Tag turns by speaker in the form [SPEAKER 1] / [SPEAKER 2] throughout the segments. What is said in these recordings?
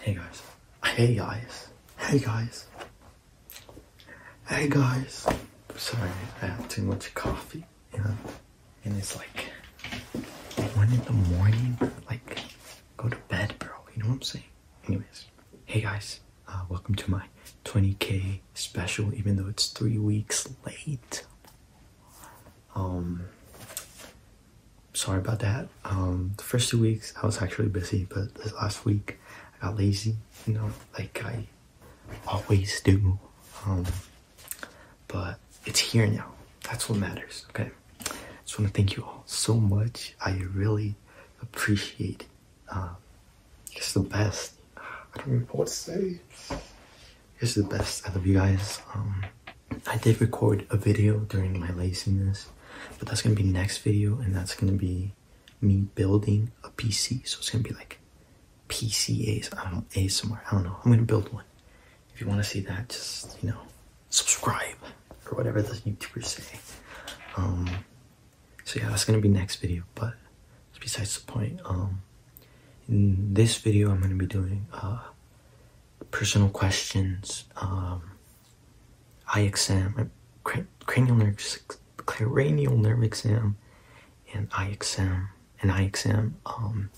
[SPEAKER 1] Hey guys. Hey guys. Hey guys. Hey guys. Sorry, I had too much coffee, you know? And it's like one in the morning. Like, go to bed, bro. You know what I'm saying? Anyways. Hey guys, uh, welcome to my 20k special, even though it's three weeks late. Um, sorry about that. Um, the first two weeks I was actually busy, but this last week I got lazy, you know, like I always do. Um, but it's here now. That's what matters, okay? I just want to thank you all so much. I really appreciate it's uh, the best. I don't even know what to say. It's the best I love you guys. Um, I did record a video during my laziness, but that's gonna be next video, and that's gonna be me building a PC. So it's gonna be like PCAs, I don't know, ASMR, I don't know. I'm gonna build one. If you wanna see that, just, you know, subscribe or whatever the YouTubers say. Um, so yeah that's gonna be next video but besides the point um in this video i'm gonna be doing uh personal questions um eye exam uh, cranial nerve cranial nerve exam and eye exam and eye exam um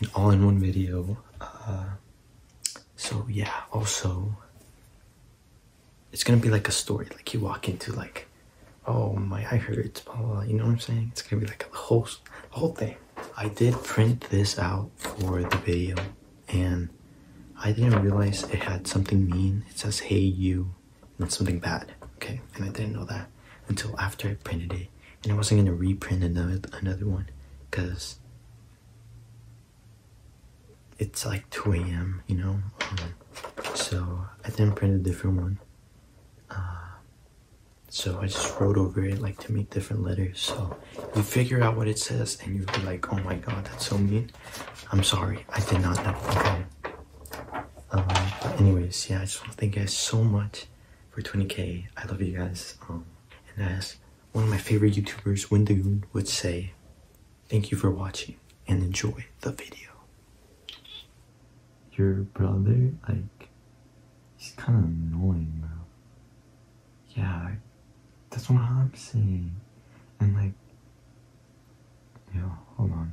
[SPEAKER 1] in all in one video uh, so yeah also it's gonna be like a story. Like you walk into like, oh my, I heard, Blah, You know what I'm saying? It's gonna be like a whole, whole thing. I did print this out for the video, and I didn't realize it had something mean. It says "Hey you," and something bad. Okay, and I didn't know that until after I printed it, and I wasn't gonna reprint another another one, cause it's like 2 a.m., you know? Um, so I then printed a different one. Uh, so I just wrote over it like to make different letters. So you figure out what it says and you'd be like, oh my god, that's so mean. I'm sorry, I did not know. Okay. Um, but anyways, yeah, I just want to thank you guys so much for 20k. I love you guys. Um, and as one of my favorite YouTubers, Windagoon, would say, Thank you for watching and enjoy the video. Your brother, like, he's kind of annoying, bro. Yeah, that's what I'm saying. And, like, yeah, hold on.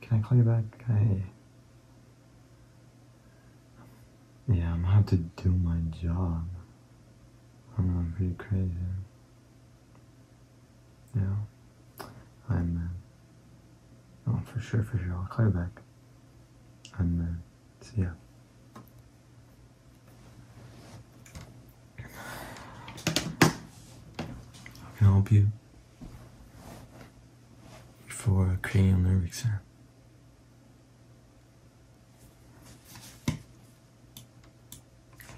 [SPEAKER 1] Can I call you back? I. Yeah, I'm going have to do my job. I'm pretty crazy. Yeah, I'm. Uh, oh, for sure, for sure. I'll call you back. And uh, see ya. I can help you? For cranial nerve exam.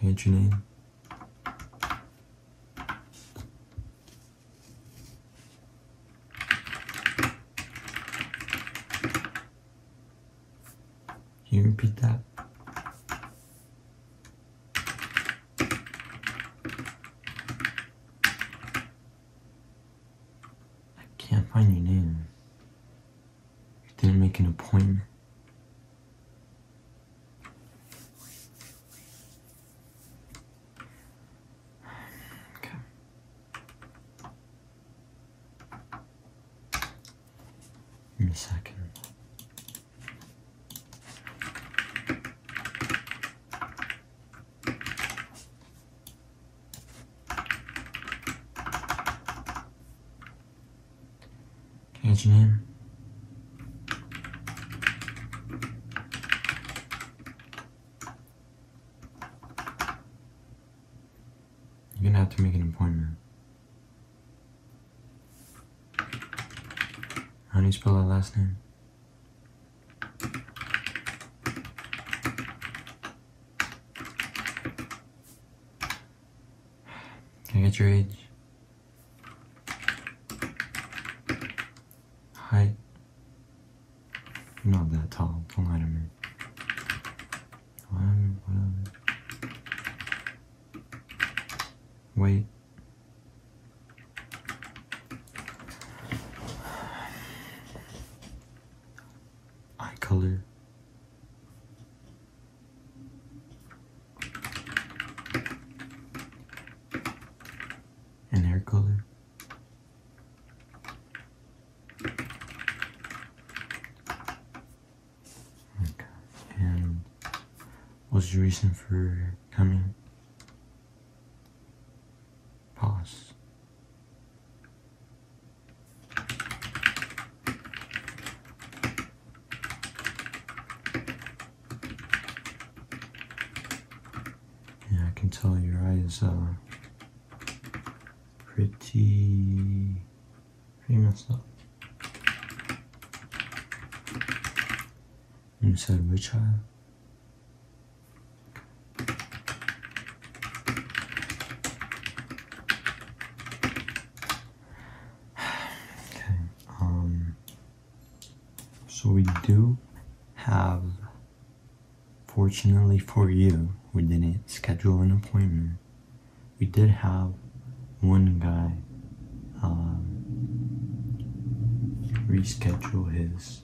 [SPEAKER 1] Hey, your name. you repeat that? I can't find your name. Didn't make an appointment. Okay. Give a second. Catch your name. You're gonna have to make an appointment. How do you spell that last name? Can I get your age? Height? not that tall. Don't lie to me. i whatever. Wait. Eye color and hair color. Okay. And what's your reason for coming? Pause. Yeah, I can tell your eyes are pretty, pretty much. up. You said which eye? okay. Um, so we do have, fortunately for you, we didn't schedule an appointment. We did have one guy um, reschedule his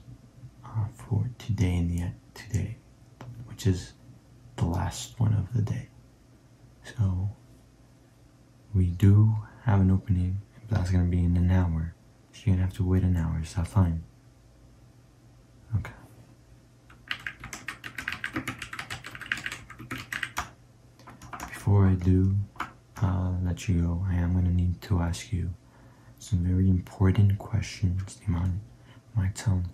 [SPEAKER 1] uh, for today and yet today, which is the last one of the day. So, we do have an opening, but that's gonna be in an hour. So you're gonna have to wait an hour, is that fine? Okay. Before I do uh, let you go, I am gonna need to ask you some very important questions, Iman. My tone,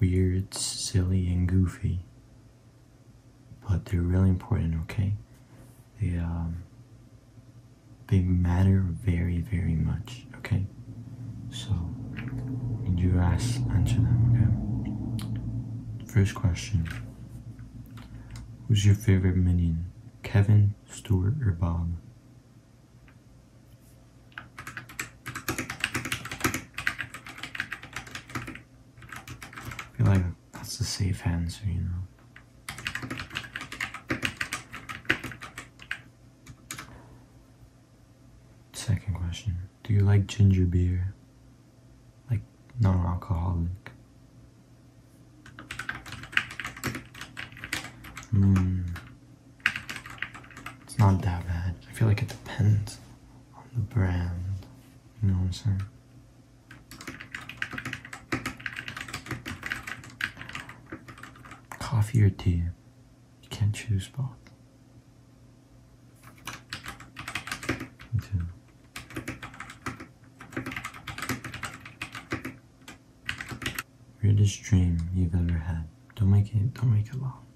[SPEAKER 1] weird, silly, and goofy but they're really important, okay? They, um, they matter very, very much, okay? So, you ask, answer them, okay? First question Who's your favorite minion? Kevin, Stuart, or Bob? I feel like that's the safe answer, you know. Second question. Do you like ginger beer? Like non-alcoholic? Hmm. It's not that bad. I feel like it depends on the brand. You know what I'm saying? Coffee or tea? You can't choose both. Two. Weirdest dream you've ever had. Don't make it don't make it long.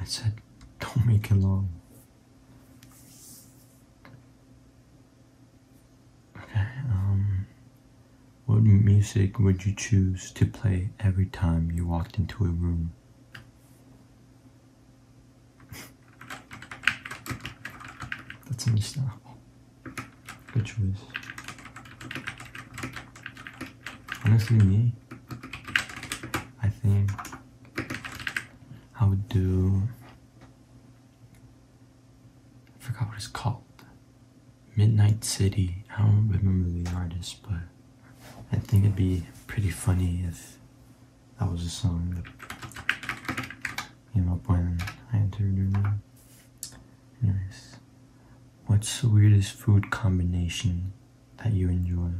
[SPEAKER 1] I said, don't make it long. Okay, um, what music would you choose to play every time you walked into a room? That's me now. Good choice. Honestly, me, I think I would do. I forgot what it's called. Midnight City. I don't remember the artist, but I think it'd be pretty funny if that was a song that came up when I entered her Anyways, what's the weirdest food combination that you enjoy?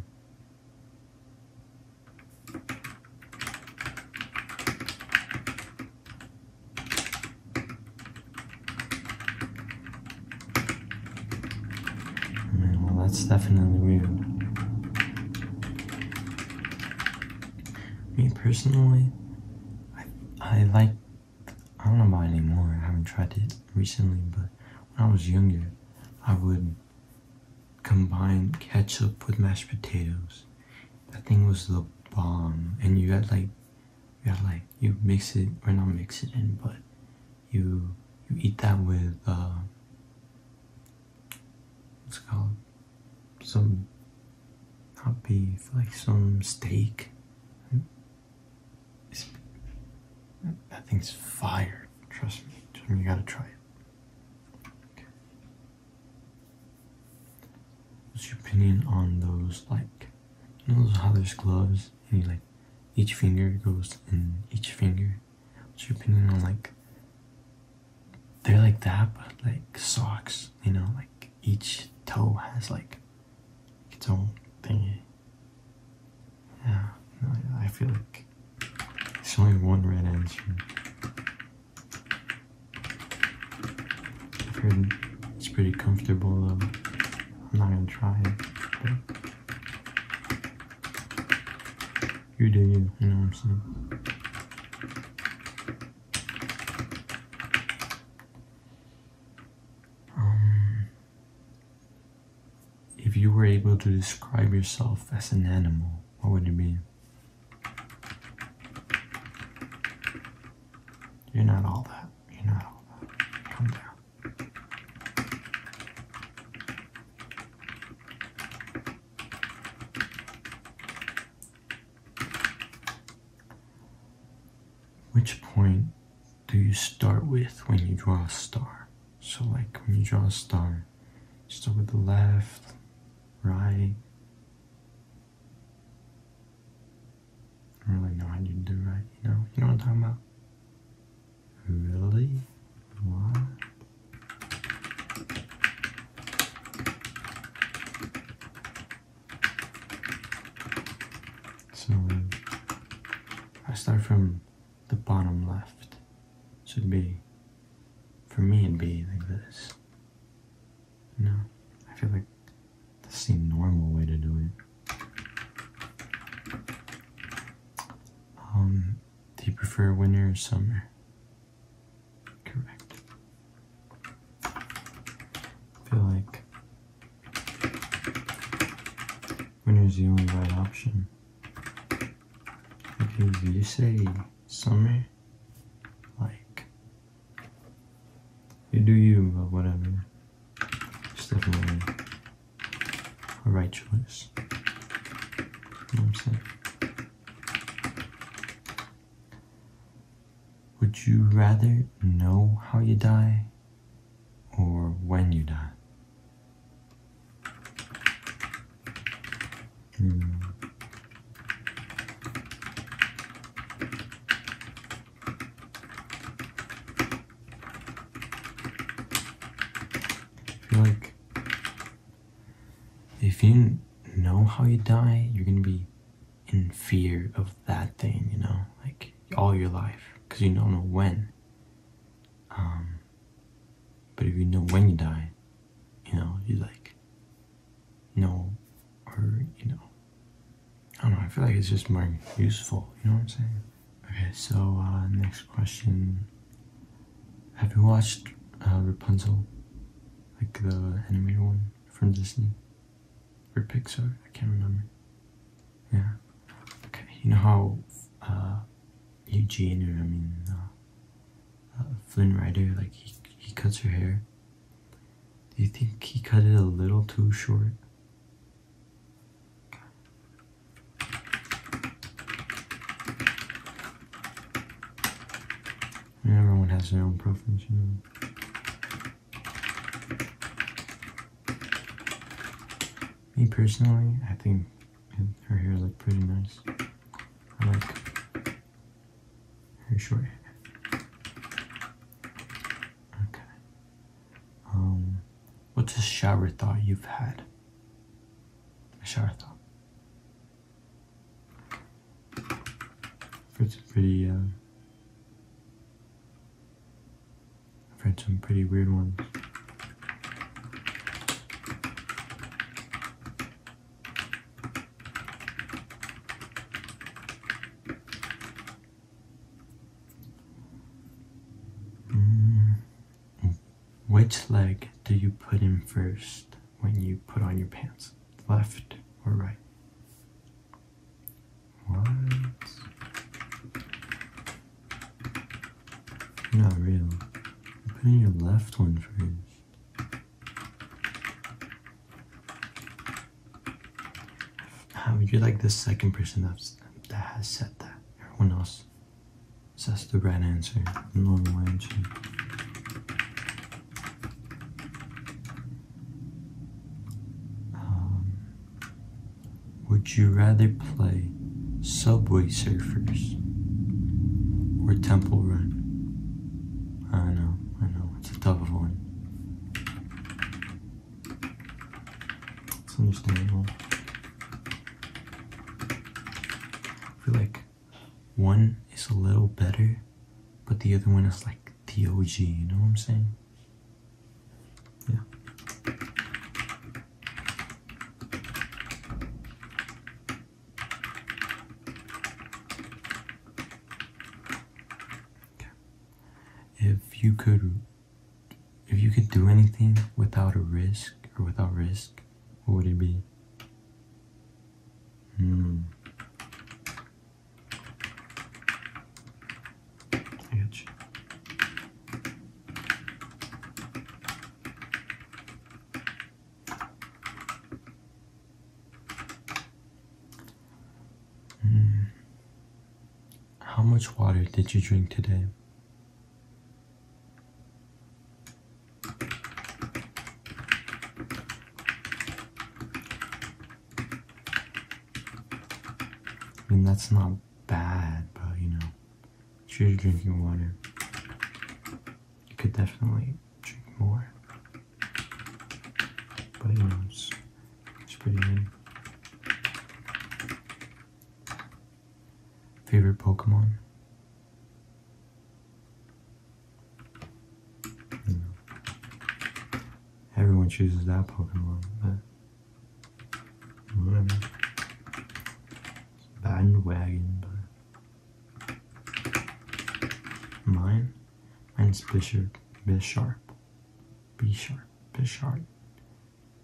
[SPEAKER 1] well, that's definitely weird. Me personally, I, I like, I don't know about anymore, I haven't tried it recently, but when I was younger, I would combine ketchup with mashed potatoes. That thing was the bomb. And you had like, you had like, you mix it, or not mix it in, but you you eat that with uh, what's it called some not beef like some steak. that thing's fire. Trust me. You gotta try it. What's your opinion on those like? You know how there's gloves and you like each finger goes in each finger on like they're like that, but like socks, you know, like each toe has like its own thingy. Yeah, I feel like it's only one red answer. it's pretty comfortable I'm not gonna try it. You do you, know what I'm saying? Um, if you were able to describe yourself as an animal, what would it be? You're not all that. You're not all that. Come down. Which point do you start with when you draw a star? So like when you draw a star, start with the left, right. I don't really know how you do right, you know? You know what I'm talking about? Really? Why? So um, I start from the bottom left. Should be for me it'd be like this. No. I feel like that's the normal way to do it. Um do you prefer winter or summer? Correct. I feel like winter is the only right option. Okay, do you say summer? Like, you do you, but whatever. definitely right choice. what I'm saying? Would you rather know how you die or when you die? Hmm. like if you know how you die, you're gonna be in fear of that thing, you know, like all your life, because you don't know when. Um, but if you know when you die, you know, you like know, or you know, I don't know. I feel like it's just more useful. You know what I'm saying? Okay, so uh, next question. Have you watched uh, Rapunzel? Like the animated one from Disney? Or Pixar? I can't remember. Yeah. Okay. You know how uh, Eugene, or I mean, uh, uh, Flynn Rider, like he, he cuts her hair? Do you think he cut it a little too short? everyone has their own preference, you know. Me personally, I think her hair looks pretty nice. I like her short hair. Okay. Um, what's a shower thought you've had? Ashartha. It's pretty, uh, I've heard some pretty weird ones. -hmm. Which leg do you put in first when you put on your pants? Left or right? What? Not real. You are putting your left one first. How would you like this second person that has said that? Everyone else that's the right answer, normal answer. Um, would you rather play Subway Surfers or Temple Run? I know, I know, it's a tough one. It's understandable. I feel like one is a little better, but the other one is like the OG, you know what I'm saying? Yeah. If you could if you could do anything without a risk or without risk what would it be? Hmm. Hmm. How much water did you drink today? And that's not bad, but you know, choose drinking water. You could definitely drink more. But you it's, it's pretty good. Favorite Pokemon? Hmm. everyone chooses that Pokemon, but whatever. Bandwagon, but mine? Mine's Bishop, Bisharp. B sharp, Bishart.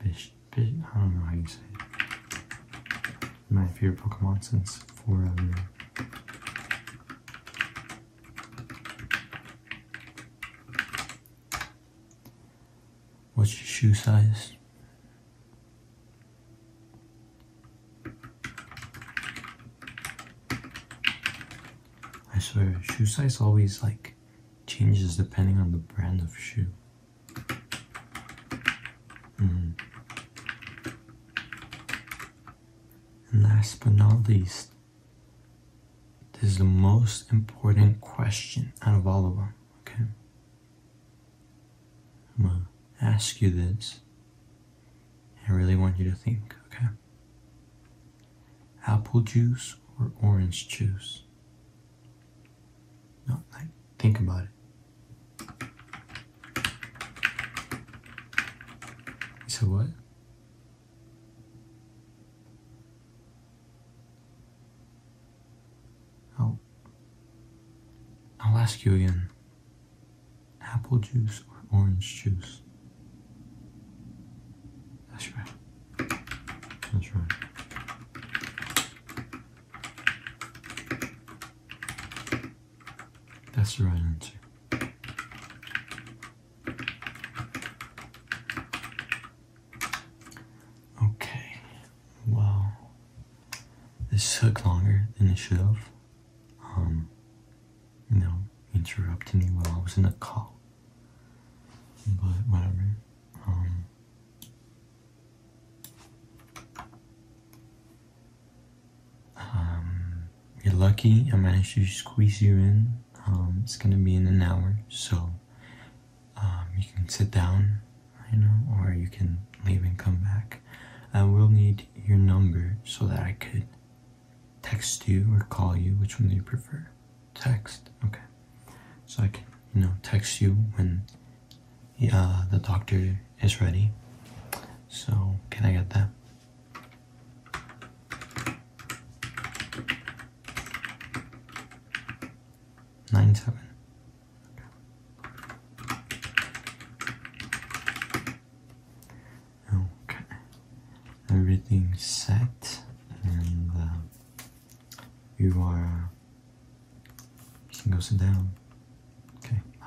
[SPEAKER 1] I don't know how you say it my favorite Pokemon since forever. What's your shoe size? I swear, shoe size always like changes depending on the brand of shoe. Mm-hmm. And Last but not least, this is the most important question out of all of them, okay? I'm gonna ask you this. I really want you to think, okay? Apple juice or orange juice? No, think about it. You said what? I'll, I'll ask you again. Apple juice or orange juice? That's right. That's right. That's the right answer. Okay, well, this took longer than it should have. Um, you know, interrupted me while I was in a call, but whatever. Um, um, you're lucky I managed to squeeze you in. Um, it's gonna be in an hour, so um, you can sit down, you know, or you can leave and come back. I will need your number so that I could text you or call you. Which one do you prefer? Text, okay. So I can, you know, text you when yeah, the doctor is ready. So, can I get that? Nine seven. Okay. okay. Everything's set, and uh, you are you can go sit down. Okay, bye.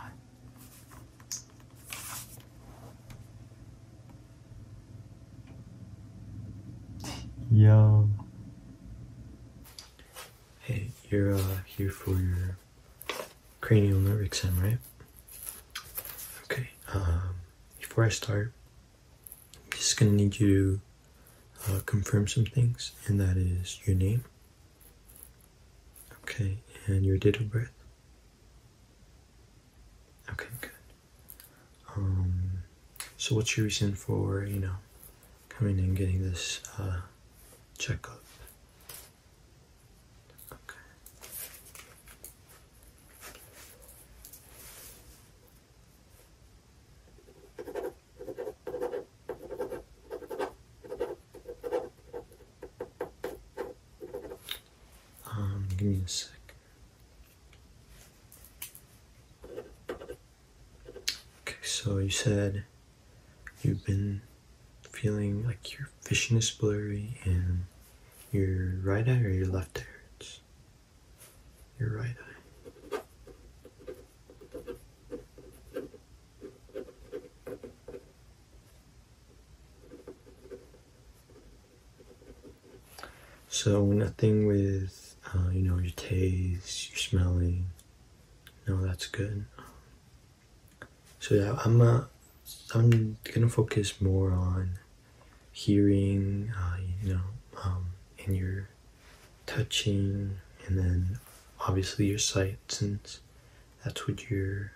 [SPEAKER 1] Yo. Hey, you're uh, here for your cranial nerve exam, right? Okay. Um, before I start, I'm just gonna need you to uh, confirm some things, and that is your name, Okay, and your date of birth? Okay, good. Um, so what's your reason for, you know, coming and getting this uh, checkup? Okay. Um, give me a sec. Okay, so you said you've been feeling like your vision is blurry and your right eye or your left eye hurts? Your right eye. So nothing with, uh, you know, your taste, your smelling. No, that's good. So yeah, I'm uh, gonna focus more on hearing, uh, you know, um, and your touching, and then obviously your sight, since that's what you're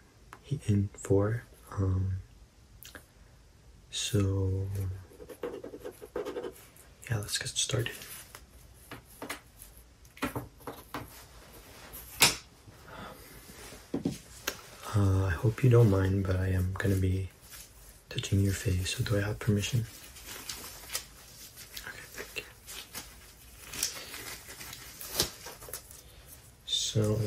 [SPEAKER 1] in for. Um, so, yeah, let's get started. Uh, I hope you don't mind, but I am going to be touching your face. So do I have permission? Okay, thank you. So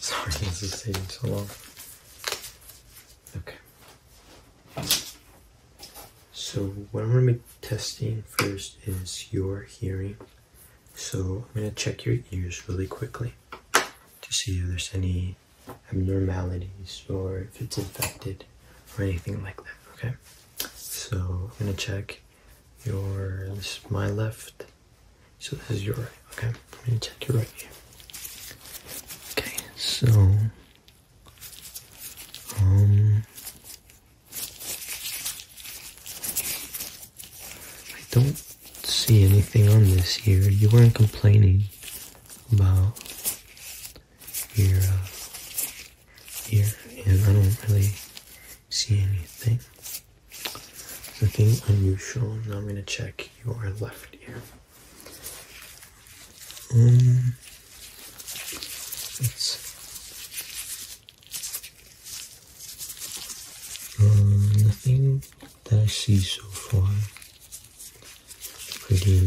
[SPEAKER 1] Sorry, this is taking so long. Okay. So what I'm going to be testing first is your hearing. So I'm going to check your ears really quickly to see if there's any abnormalities or if it's infected or anything like that, okay? So I'm going to check your, this is my left, so this is your right, okay? I'm going to check your right ear. Okay, so um, I don't see anything on this ear. You weren't complaining about your uh, ear, and I don't really see anything. Nothing unusual. Now I'm going to check your left ear. Um, it's um, nothing that I see so far. Pretty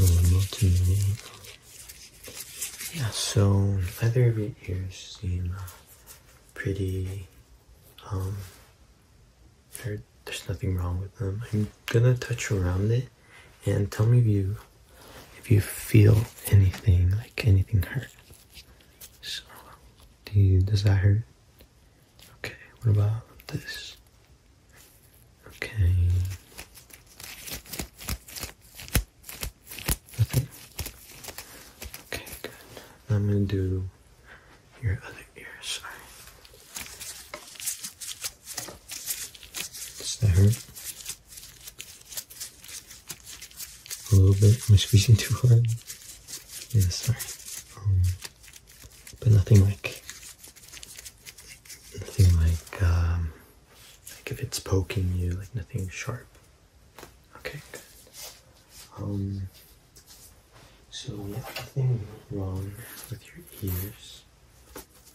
[SPEAKER 1] normal to me. Yeah, so either of your ears seem uh, pretty, um, there's nothing wrong with them. I'm gonna touch around it and tell me if you if you feel anything like anything hurt. So do you does that hurt? Okay, what about this? Okay. Okay, good. I'm gonna do your other ear, sorry. Does that hurt? A little bit? Am I squeezing too hard? Yes, sorry. Um, but nothing like, nothing like, um, like if it's poking you, like nothing sharp. Okay, good. Um, so nothing wrong with your ears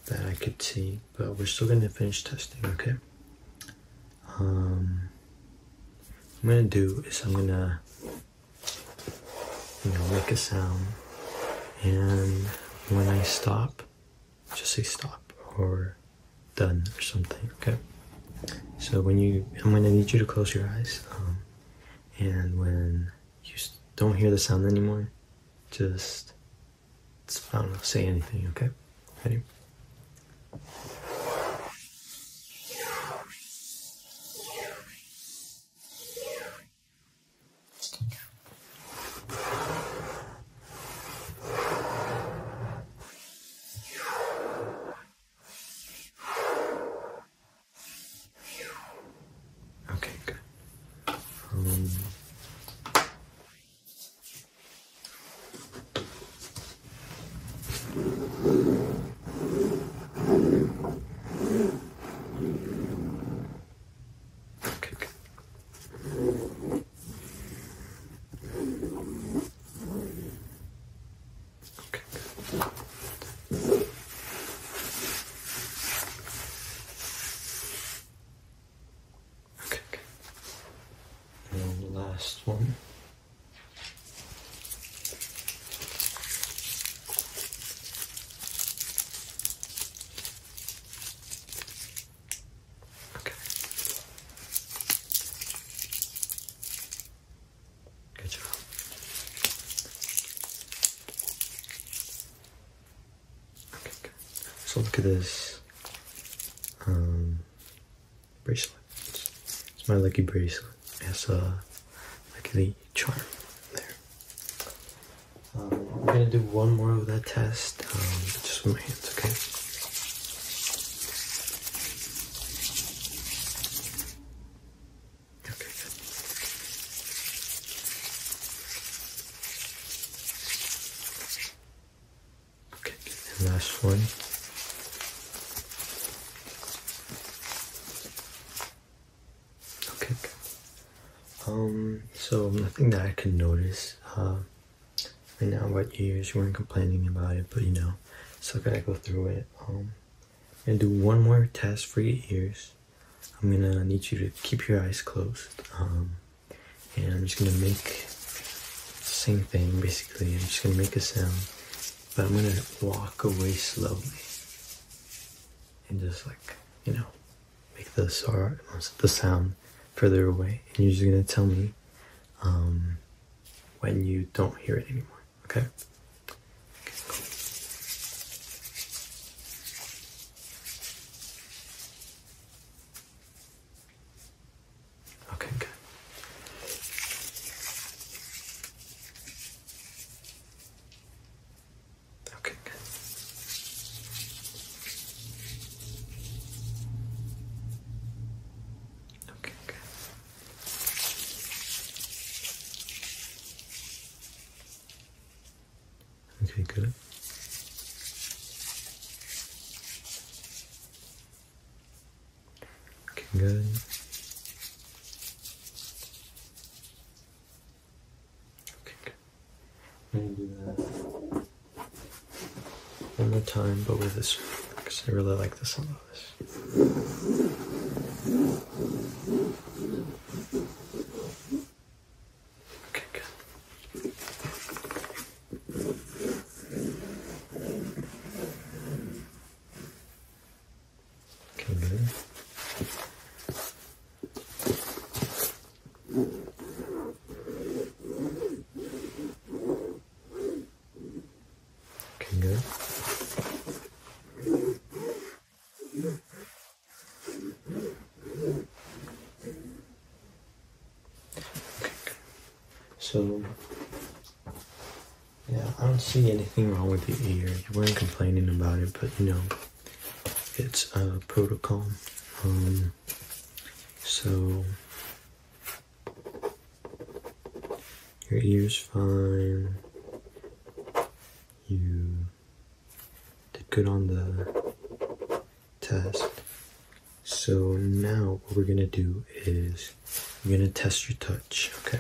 [SPEAKER 1] that I could see, but we're still going to finish testing, okay? Um, I'm going to do is I'm going to, you know, make a sound, and when I stop, just say stop or done or something, okay? So when you, I'm going to need you to close your eyes, um, and when you don't hear the sound anymore, just, I don't know, say anything, okay? Ready? Um, okay, good. okay, Okay, Okay, And last one. Okay. Good job. Okay, So look at this um, bracelet. It's, my lucky bracelet. It has a uh, lucky charm there. Um, I'm gonna do one more of that test, um, just with my hands, okay? Okay, last one. Okay. Um. So nothing that I can notice. Uh, right now, what ears you weren't complaining about it, but you know, still gotta go through it. Um, and do one more test for your ears. I'm gonna need you to keep your eyes closed. Um, and I'm just gonna make same thing basically. I'm just gonna make a sound, but I'm gonna walk away slowly and just like you know make the sound further away. And you're just gonna tell me um, when you don't hear it anymore. Okay. okay cool. Okay, good. Okay, good. Okay, good. Okay, good. Okay, good. Okay, good. i do that one more time, but with this because I really like this sound of this. Okay, good. Okay, good. So, yeah, I don't see anything wrong with your ear. You weren't complaining about it, but you know, it's a protocol. Um, so, your ear's fine. You did good on the test. So now what we're gonna do is we're gonna test your touch, okay?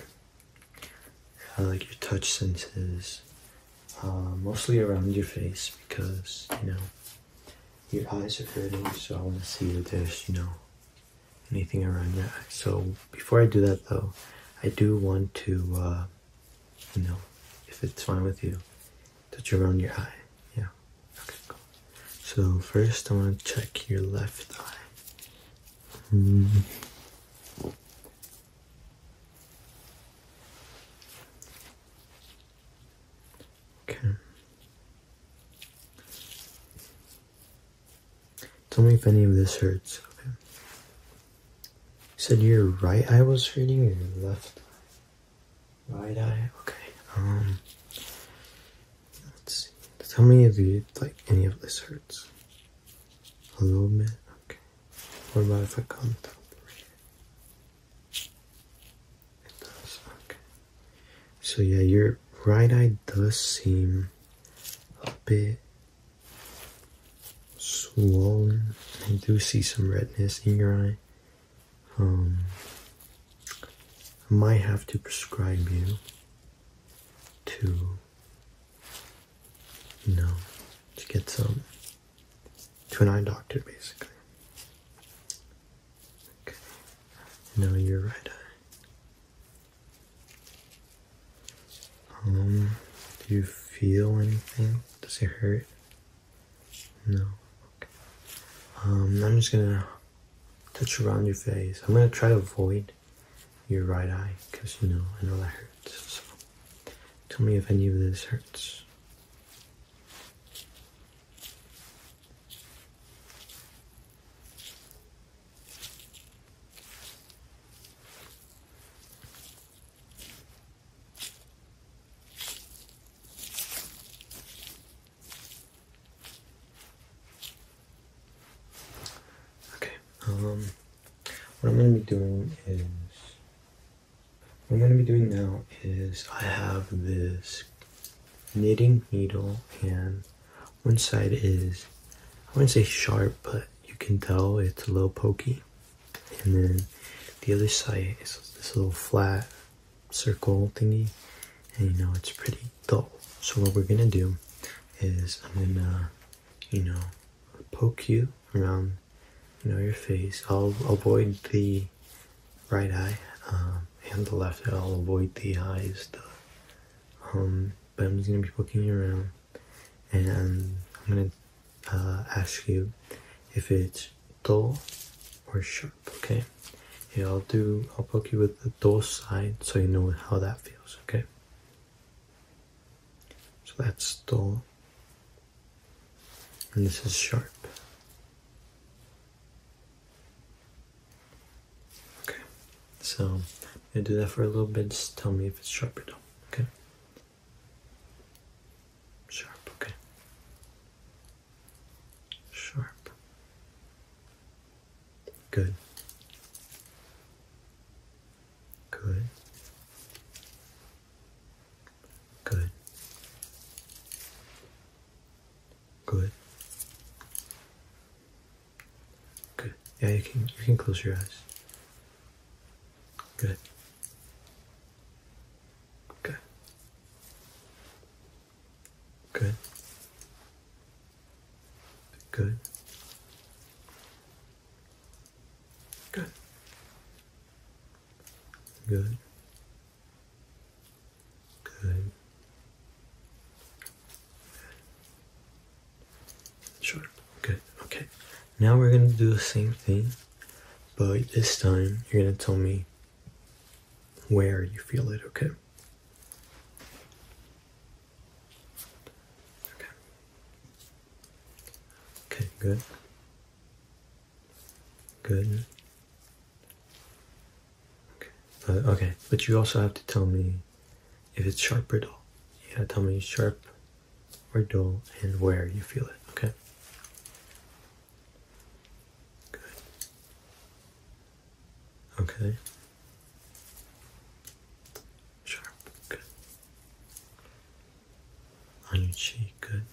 [SPEAKER 1] I like your touch senses, uh, mostly around your face because, you know, your eyes are hurting, so I wanna see if there's, you know, anything around that. So before I do that though, I do want to, uh, you know, if it's fine with you, Touch around your eye. Yeah. Okay, So first I want to check your left eye. Mm. Okay. Tell me if any of this hurts. Okay. You said your right eye was hurting your left eye? Right eye. Okay. Um, let's see. how many of you like any of this hurts. A little bit. Okay. What about if I come top right? It does. Okay. So yeah, your right eye does seem a bit swollen. I do see some redness in your eye. Um, I might have to prescribe you to, you to get some, to an eye doctor basically. Okay, now your right eye. Um, do you feel anything? Does it hurt? No. Um, I'm just gonna touch around your face. I'm gonna try to avoid your right eye because you know I know that hurts. So tell me if any of this hurts. Okay, um, what I'm going to be doing is, what I'm going to be doing now is I have this knitting needle and one side is, I wouldn't say sharp, but you can tell it's a little pokey and then the other side is this little flat circle thingy and you know it's pretty dull so what we're gonna do is i'm gonna you know poke you around you know your face i'll avoid the right eye um, and the left eye i'll avoid the eyes the um, but i'm just gonna be poking you around and i'm gonna uh, ask you if it's dull or sharp, okay? Yeah, I'll do, I'll poke you with the dull side so you know how that feels, okay? So that's dull. And this is sharp. Okay, so I'm gonna do that for a little bit. Just tell me if it's sharp or dull, okay? Sharp, okay. Sharp. Good. Good. Good. Good. Good. Yeah, you can you can close your eyes. Good. Okay. Good. Good. Good. Good. Good. Sure. Good. Okay. Now we're going to do the same thing but this time, you're going to tell me where you feel it, okay? Okay. good. Good. Okay. But, uh, but you also have to tell me if it's sharp or dull. You gotta tell me sharp or dull and where you feel it, okay? Good. Okay. Sharp. Good. On your cheek. Good.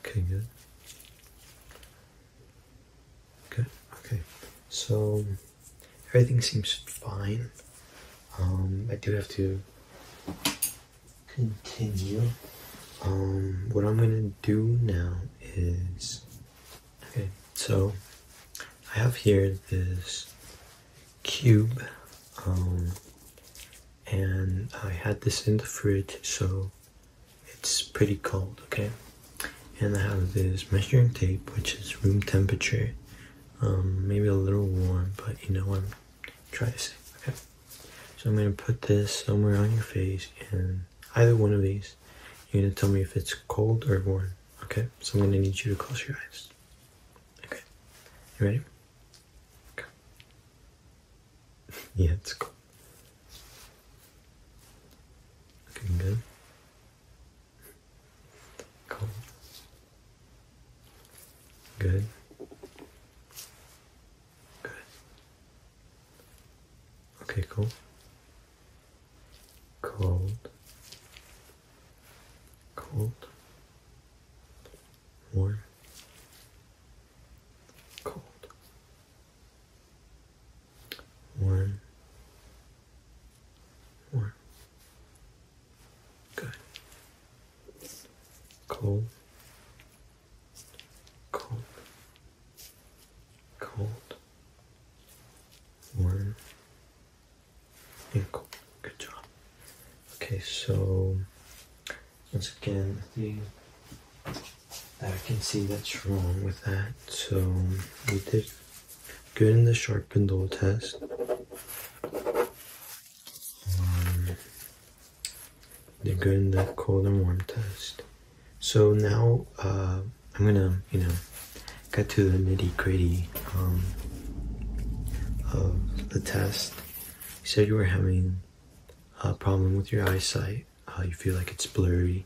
[SPEAKER 1] Okay, good. Good. Okay. So everything seems fine. Um, I do have to continue. Um, what I'm gonna do now is okay. So I have here this cube, um, and I had this in the fridge, so it's pretty cold. Okay, and I have this measuring tape, which is room temperature. Um, maybe a little warm, but you know I'm try to see. Okay. So I'm going to put this somewhere on your face and either one of these. You're going to tell me if it's cold or warm. Okay. So I'm going to need you to close your eyes. Okay. You ready? Okay. yeah, it's cold. Looking good. Cold. Good. Good. Okay, cool. Cold. Cold. Warm. Cold. Warm. Warm. Good. Cold. Cold. Cold. Warm. Yeah, cool. Good job. Okay, so once again, the I can see that's wrong with that. So we did good in the sharpened dull test. Um, they're good in the cold and warm test. So now uh, I'm gonna, you know, get to the nitty gritty um, of the test. You said you were having a problem with your eyesight. Uh, you feel like it's blurry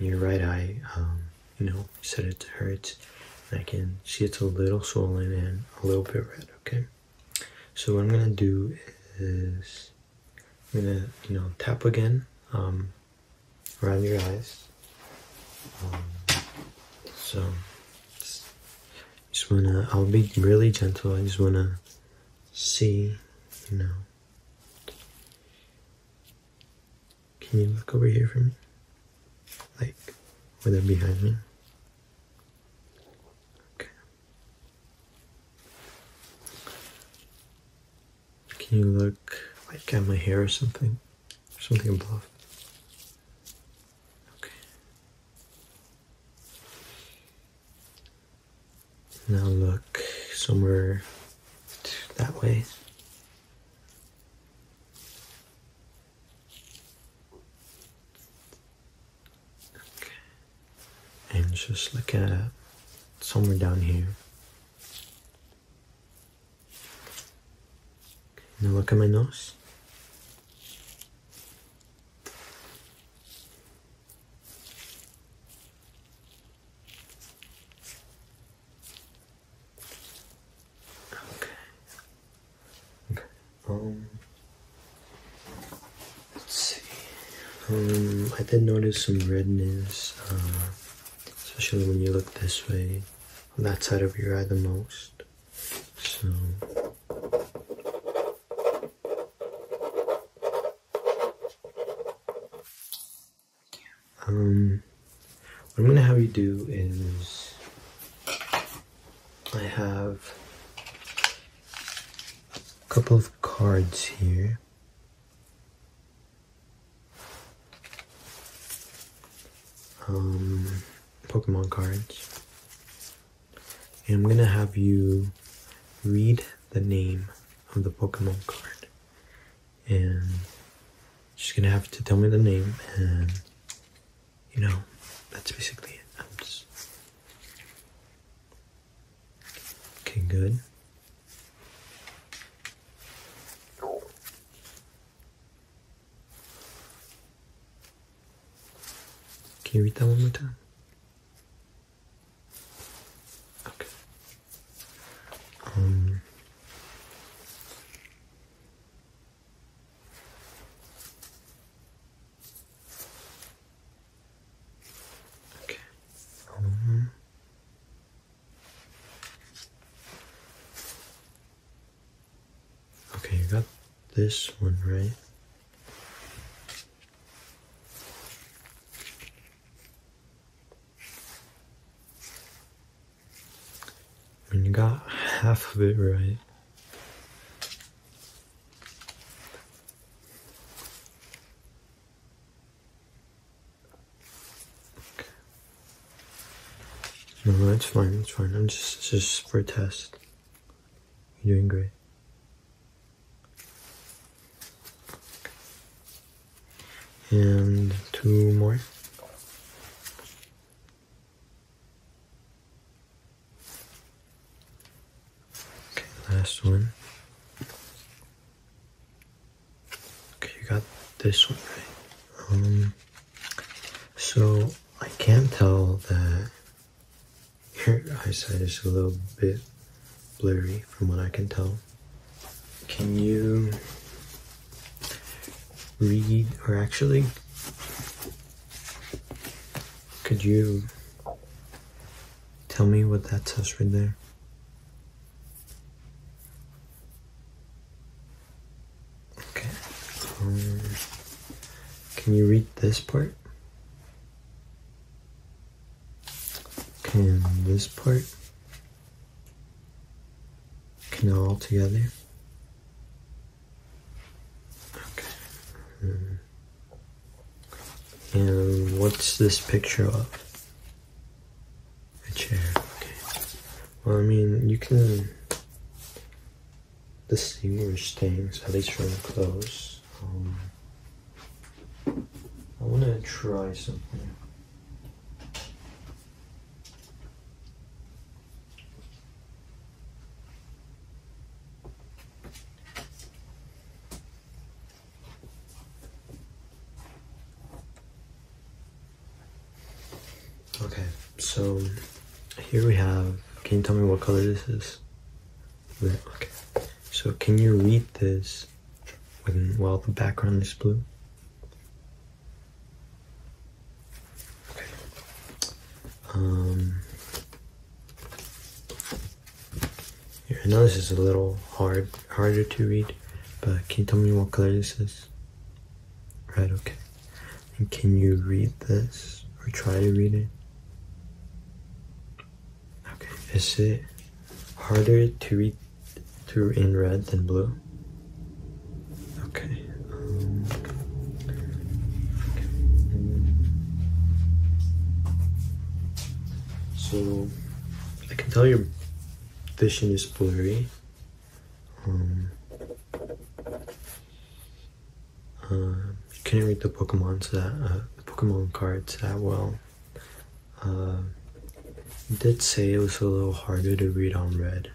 [SPEAKER 1] in your right eye. Um, you know, you said it hurts. I can see it's a little swollen and a little bit red, okay? So what I'm gonna do is I'm gonna you know tap again um, around your eyes. Um, so just, just wanna I'll be really gentle. I just wanna see you know. Can you look over here for me? Like, or they behind me? Okay. Can you look like at my hair or something? something above? Okay. Now look somewhere that way. And just look at somewhere down here. Now look at my nose. Okay. Um, let's see. Um, I did notice some redness, uh, especially when you look this way, on that side of your eye the most. So. Um, what I'm gonna have you do is I have a couple of cards here. Um, Pokemon cards. I'm going to have you read the name of the Pokemon card. And she's going to have to tell me the name and you know, that's basically it. okay, good. Can we read that one more time? Okay. Um. Okay. Mm-hmm. Okay, you got this one right. And you got half of it right. No, no, it's fine, it's fine. I'm just, just for a test. You're doing great. And two more. Okay, last one. Okay, you got this one right. Um, so I can tell that your eyesight is a little bit blurry from what I can tell. Can you read or actually could you tell me what that says right there? Okay. Um, can you read this part? Can this part? Can all together? Okay. And what's this picture of? A chair. Okay. Well, I mean, you can distinguish things, at least from close. Um, I want to try something. Okay, so here we have, can you tell me what color this is? okay. So can you read this when, while the background is blue? Um, I know this is a little hard, harder to read, but can you tell me what color this is? Right, okay. And can you read this or try to read it? Okay, is it harder to read through in red than blue? Okay. Um, so I can tell your vision is blurry. Um, uh, you can't read uh, the Pokemon cards that well. Uh, did say it was a little harder to read on red,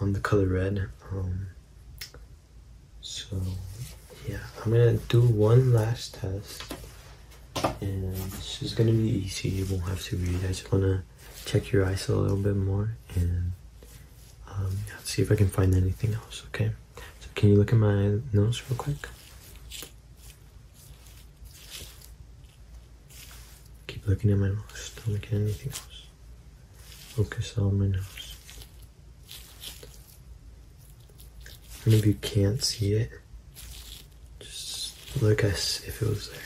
[SPEAKER 1] on the color red. Um, so yeah, I'm gonna do one last test and this is gonna be easy, you won't have to read. I just wanna check your eyes a little bit more and um, see if I can find anything else, okay? So can you look at my nose real quick? Keep looking at my nose, don't look at anything else. Focus on my nose. And if you can't see it, just look as if it was there.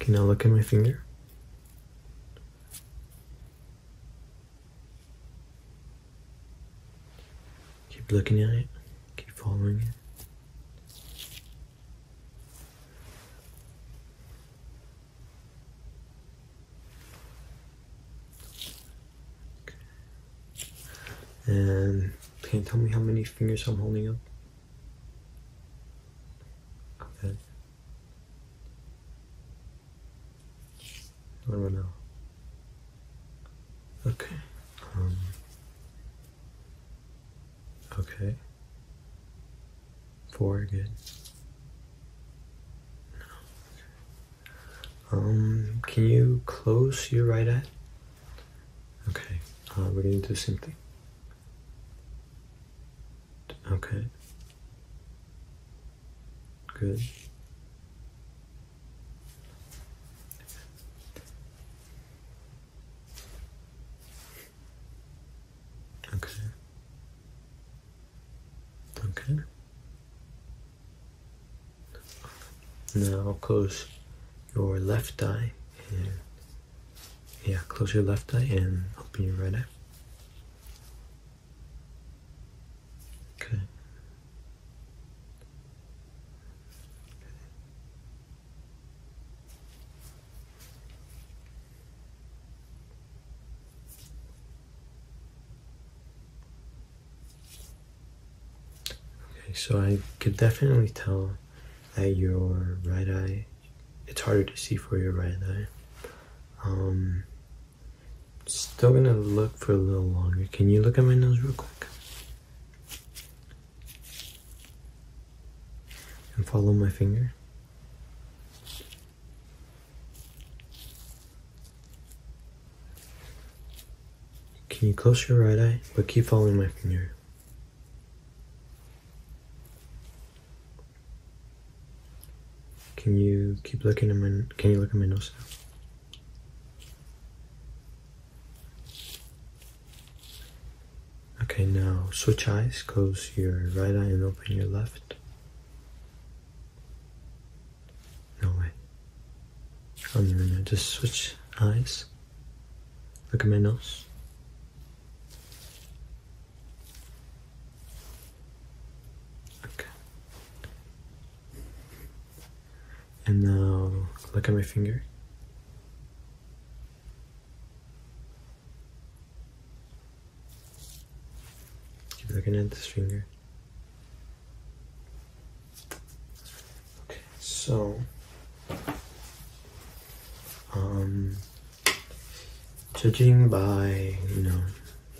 [SPEAKER 1] Okay, now look at my finger. Keep looking at it, keep following it. And can you tell me how many fingers I'm holding up? Okay. I don't know. Okay. Um, Okay. Four, good. Um, can you close your right eye? Okay, uh, we're gonna do the same thing. Okay. Good. Okay. Okay. Now close your left eye and yeah, close your left eye and open your right eye. Okay. Okay, so I could definitely tell that your right eye, it's harder to see for your right eye. Um, still gonna look for a little longer. Can you look at my nose real quick? and follow my finger. Can you close your right eye, but keep following my finger? Can you keep looking at my? Can you look at my nose now? Okay, now switch eyes, close your right eye and open your left. No way. I'm oh, gonna just switch eyes. Look at my nose. Okay. And now look at my finger. Keep looking at this finger. Okay, so um judging by you know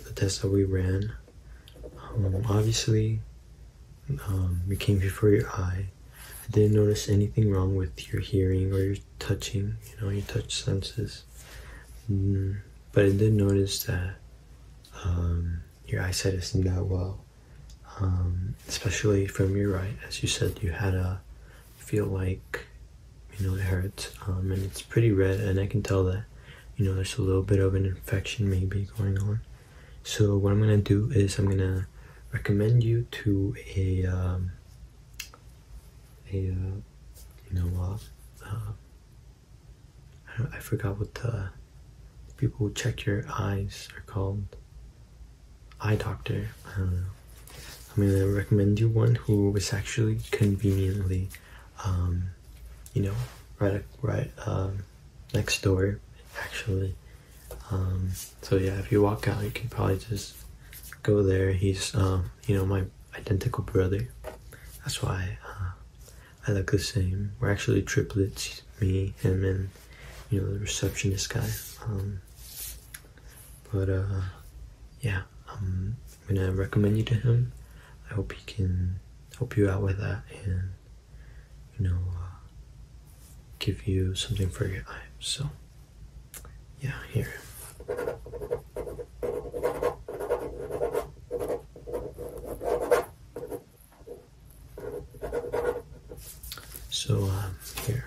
[SPEAKER 1] the test that we ran um, obviously we um, came before your eye I didn't notice anything wrong with your hearing or your touching, you know, your touch senses. Mm, but I did notice that um, your eyesight isn't that well, um, especially from your right. As you said, you had a feel like, you know, it hurts um, and it's pretty red, and I can tell that, you know, there's a little bit of an infection maybe going on. So what I'm gonna do is I'm gonna recommend you to a um, a uh, you know what uh, I, forgot what the, people who check your eyes are called eye doctor I don't know I'm gonna recommend you one who was actually conveniently um, you know right right uh, next door actually um, so yeah, if you walk out, you can probably just go there. He's, um, you know, my identical brother. That's why uh, I look the same. We're actually triplets, me, him, and you know the receptionist guy. Um, but uh, yeah, I'm gonna recommend you to him. I hope he can help you out with that and you know uh, give you something for your life. So yeah, here. So, um, here,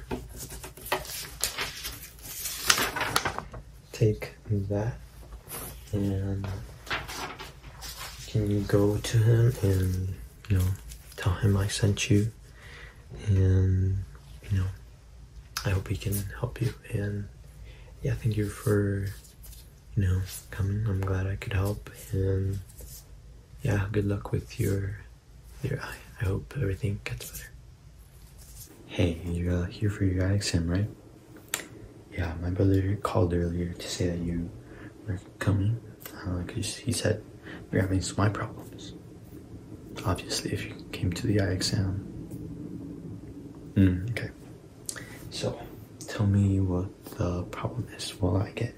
[SPEAKER 1] take that, and can you go to him and you know tell him I sent you and you know i hope we can help you and yeah thank you for you know coming i'm glad i could help and yeah good luck with your your eye i hope everything gets better hey you're uh, here for your eye exam right yeah my brother called earlier to say that you were coming uh, he said you're having some eye problems Obviously, if you came to the I exam. Mm, okay. So, tell me what the problem is while I get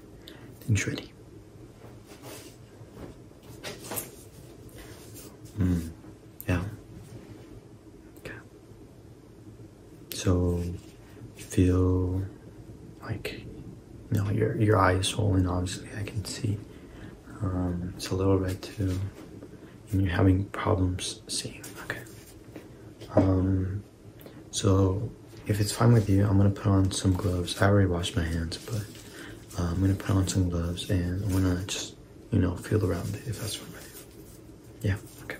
[SPEAKER 1] things ready. Mm, yeah. Okay. So, you feel like, you your, your eye is swollen, obviously, I can see. Um, it's a little bit too, and you're having problems seeing. Okay. Um, so if it's fine with you, I'm gonna put on some gloves. I already washed my hands, but uh, I'm gonna put on some gloves and I'm gonna just, you know, feel around it if that's fine with you. Yeah. Okay.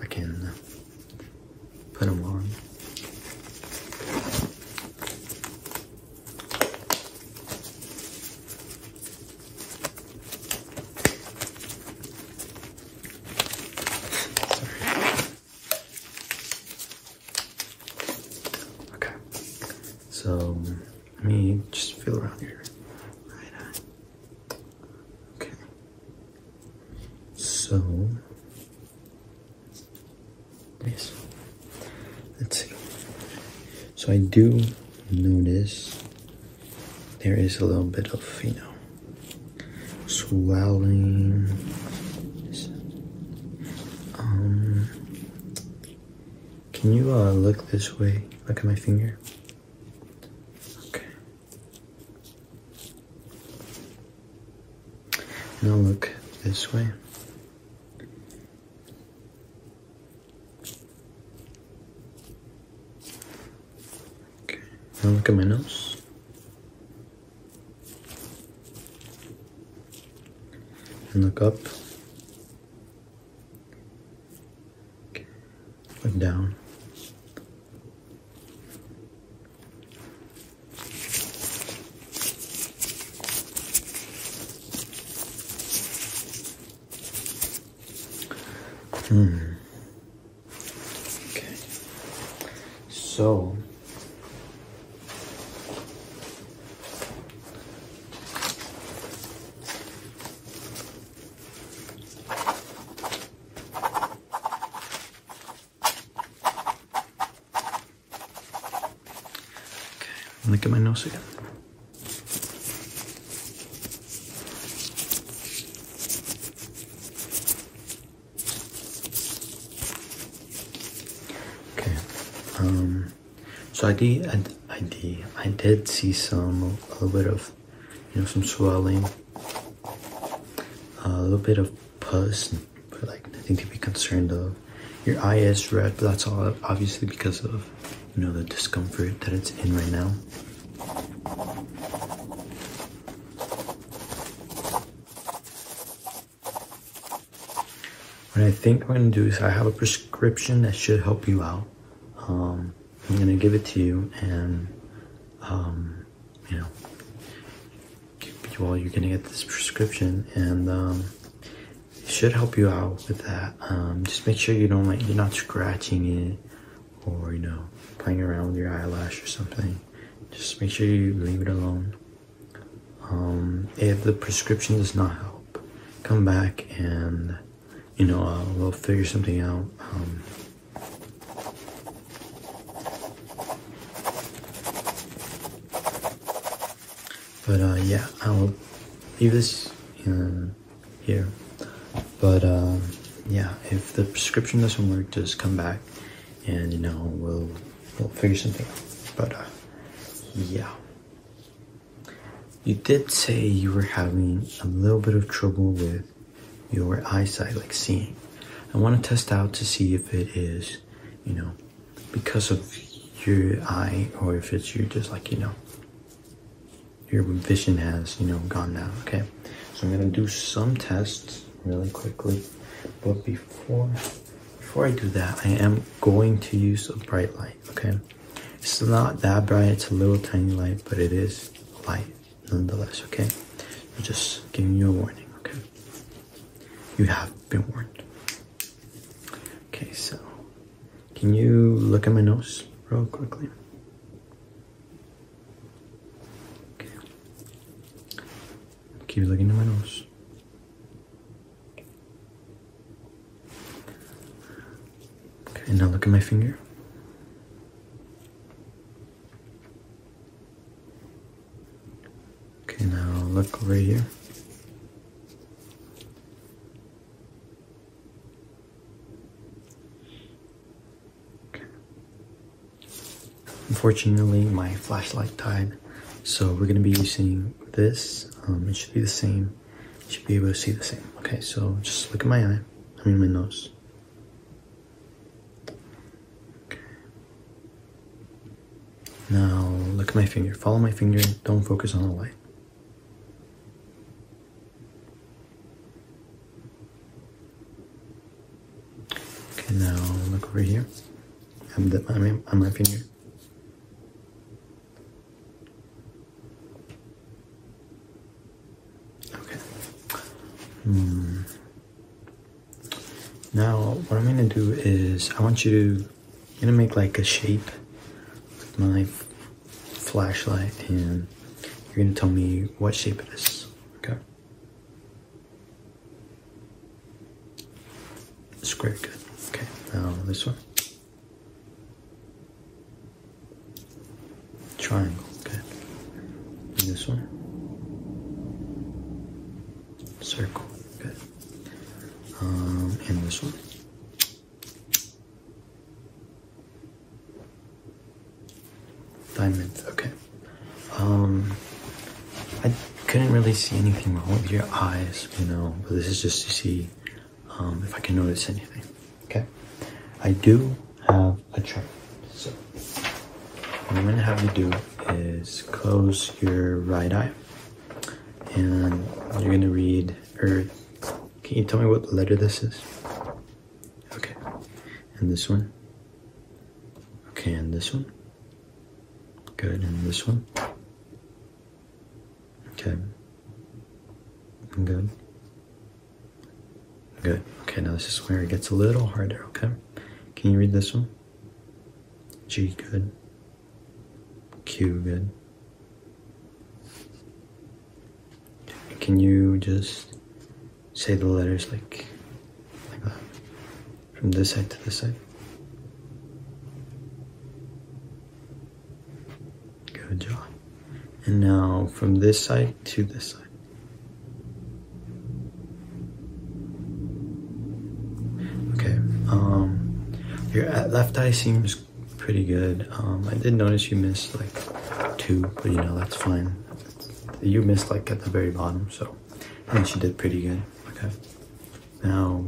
[SPEAKER 1] I can. Uh, put them on. Okay, so let me just feel around here. Okay, so Let's see. So I do notice there is a little bit of, you know, swelling. Um, can you uh, look this way? Look at my finger. Okay. Now look this way. Okay, now look at my nose. And look up. Okay. Look down. Hmm. Okay. So I'm gonna get my nose again. Okay. Um, so I did. I, did. I did see some a little bit of, you know, some swelling. A little bit of pus but like nothing to be concerned of. Your eye is red, but that's all obviously because of you know the discomfort that it's in right now. What I think I'm gonna do is I have a prescription that should help you out. Um, I'm gonna give it to you, and um, you know, well, you're gonna get this prescription, and um, it should help you out with that. Um, just make sure you don't like you're not scratching it or you know playing around with your eyelash or something. Just make sure you leave it alone. Um, if the prescription does not help, come back and you know uh, we'll figure something out. But uh, yeah, I'll leave this here. But um, yeah, if the prescription doesn't work, just come back and you know, we'll, we'll figure something out. But uh, yeah. You did say you were having a little bit of trouble with your eyesight, like seeing. I want to test out to see if it is, you know, because of your eye or if it's you just like you know your vision has you know gone down okay so i'm gonna do some tests really quickly but before before i do that i am going to use a bright light okay it's not that bright it's a little tiny light but it is light nonetheless okay I'm just giving you a warning okay you have been warned. Okay, so can you look at my nose real quickly? Keep looking at my nose. Okay, now look at my finger. Okay, now look over here. Okay. Unfortunately, my flashlight died, so we're gonna be using this. Um, it should be the same. You should be able to see the same. Okay, so just look at my eye. I mean my nose. Now look at my finger. Follow my finger. Don't focus on the light. Okay, now look over here. I'm looking here. Okay. Hmm. Now, what I'm gonna do is I want you to, gonna make like a shape with my flashlight and you're gonna tell me what shape it is, okay? Square, good. Okay, now this one. Triangle, Okay, this one. Circle, Okay. Um, and this one. diamonds. okay. Um, I couldn't really see anything wrong with your eyes, you know, but this is just to see um, if I can notice anything, okay? I do have a chart, so what I'm gonna have you do is close your right eye. And you're going to read, or can you tell me what letter this is? Okay. And this one? Okay, and this one? Good, and this one? Okay. Good. Good. Okay, now this is where it gets a little harder, okay? Can you read this one? G good, Q good. Can you just say the letters like, like that? From this side to this side? Good job. And now from this side to this side. Okay, um, your left eye seems pretty good. Um, I did notice you missed like two, but you know, that's fine. You missed like at the very bottom, so I think she did pretty good. Okay, now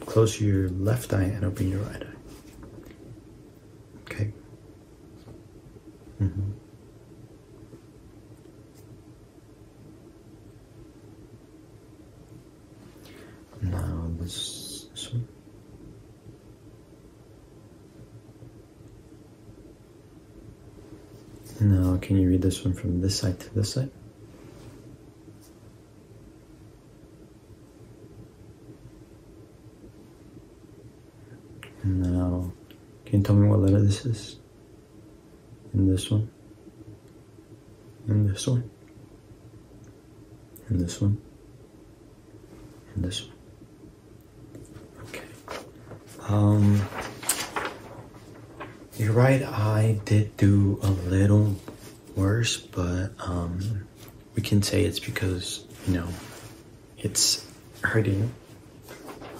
[SPEAKER 1] close your left eye and open your right eye. Okay. Mm-hmm. Now this, one. Now, can you read this one from this side to this side? Now, can you tell me what letter this is? and this one, and this one, and this one, and this one. Okay. Um, your right I did do a little worse, but um, we can say it's because, you know, it's hurting.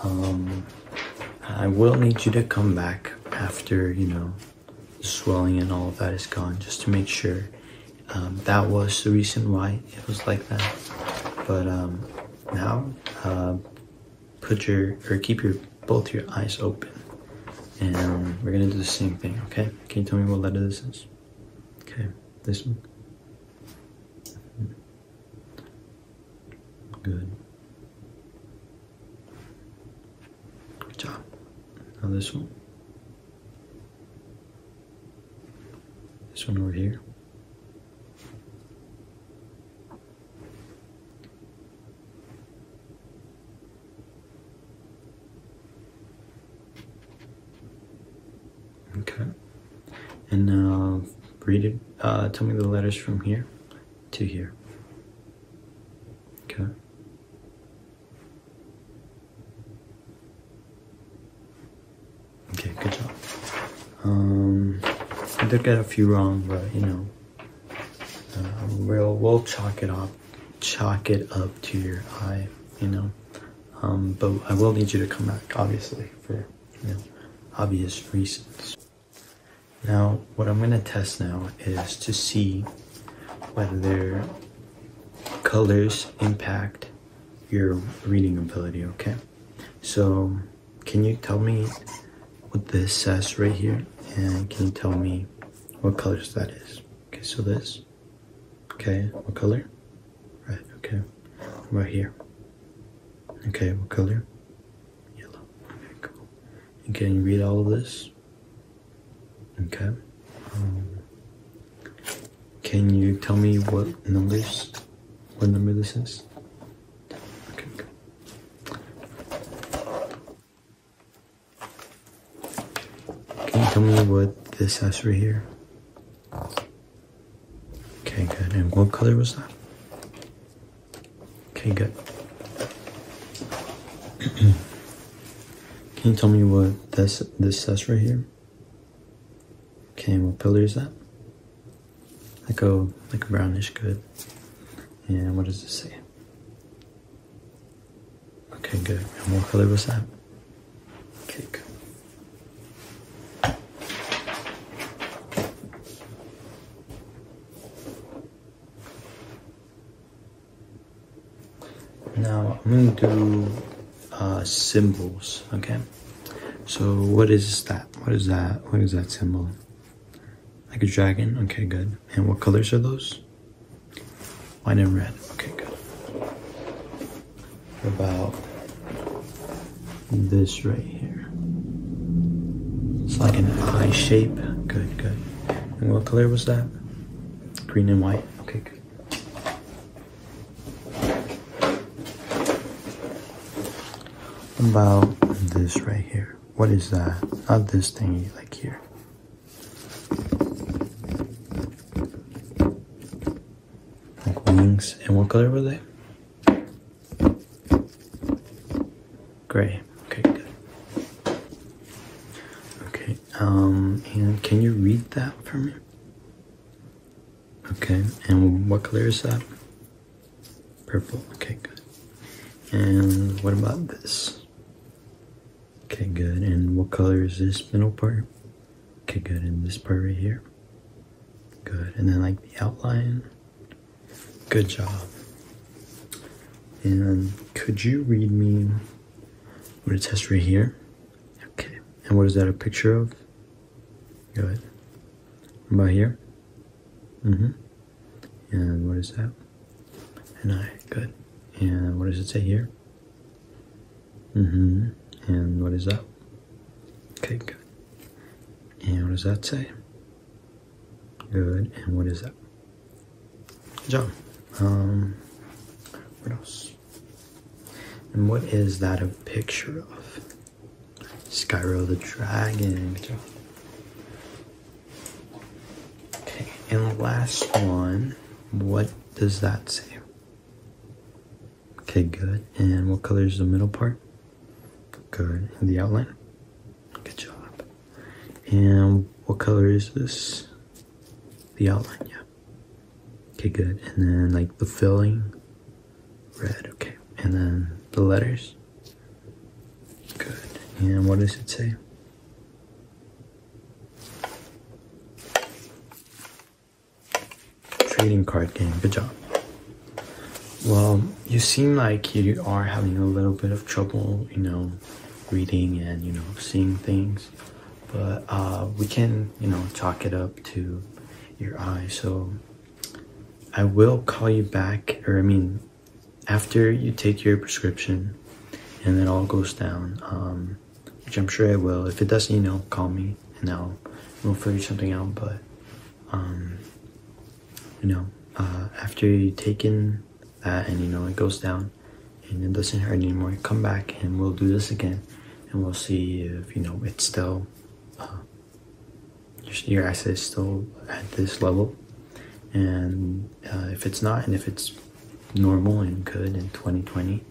[SPEAKER 1] Um, I will need you to come back after, you know, swelling and all of that is gone just to make sure um, that was the reason why it was like that but um, now uh, put your or keep your both your eyes open and we're gonna do the same thing okay can you tell me what letter this is okay this one good Good job. Now this one. This one over here. Okay. And now read it. Uh, tell me the letters from here to here. Okay. Okay, good job. Um, I did get a few wrong, but you know, uh, we'll we'll chalk it up, chalk it up to your eye, you know. Um, but I will need you to come back, obviously, for you know, obvious reasons. Now, what I'm gonna test now is to see whether their colors impact your reading ability, okay? So, can you tell me what this says right here? And can you tell me what colors that is? Okay, so this, okay, what color? Right, okay, right here. Okay, what color? Yellow. Okay, can you read all of this? Okay. Um, can you tell me what numbers, what number this is? Okay, good. Can you tell me what this has right here? Okay, good. And what color was that? Okay, good. Can you tell me what this this says right here? Okay, what color is that? Like a like a brownish good. And what does it say? Okay, good. And what color was that? Okay, good. Now I'm going to do uh, symbols, okay? So what is that? What is that? What is that symbol? Like a dragon? Okay, good. And what colors are those? White and red. Okay, good. about this right here? It's like an eye shape. Good, good. And what color was that? Green and white. Okay, good. About this right here. What is that? Not this thingy like here. Like wings. And what color were they? Gray. Okay, good. Okay, um, and can you read that for me? Okay, and what color is that? Purple. Okay, good. And what about this? Okay, good. And what color is this middle part? Okay, good. And this part right here? Good. And then like the outline? Good job. And could you read me what it says right here? Okay. And what is that a picture of? Go ahead. about here? Mm-hmm. And what is that? An eye. Good. And what does it say here? Mm-hmm. And what is that? Okay, good. And what does that say? Good. And what is that? Good job. Um, what else? And what is that a picture of? Skyro the Dragon. Okay, and the last one, what does that say? Okay, good. And what color is the middle part? Good. the outline? Good job. And what color is this? The outline, yeah. Okay, good. And then like the filling, red, okay. And then the letters, good. And what does it say? Trading card game, good job. Well, you seem like you are having a little bit of trouble, you know, reading and you know seeing things but uh, we can you know chalk it up to your eyes. so i will call you back or i mean after you take your prescription and it all goes down um, which i'm sure it will if it doesn't you know call me and i'll we'll figure something out but um, you know uh, after you take in and you know it goes down and it doesn't hurt anymore come back and we'll do this again and we'll see if you know it's still uh, your asset is still at this level and uh, if it's not and if it's normal and good in 2020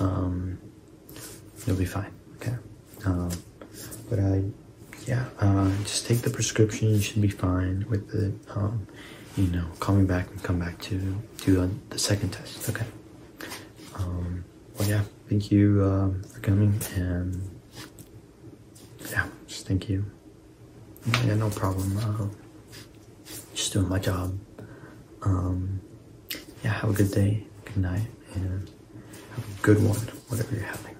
[SPEAKER 1] um, you'll be fine okay um, but i yeah uh, just take the prescription you should be fine with it um, you know, call back and come back to do uh, the second test. Okay. Um, well, yeah. Thank you um, for coming, and yeah, just thank you. Yeah, no problem. Uh, just doing my job. Um, yeah, have a good day, good night, and have a good one, whatever you're having.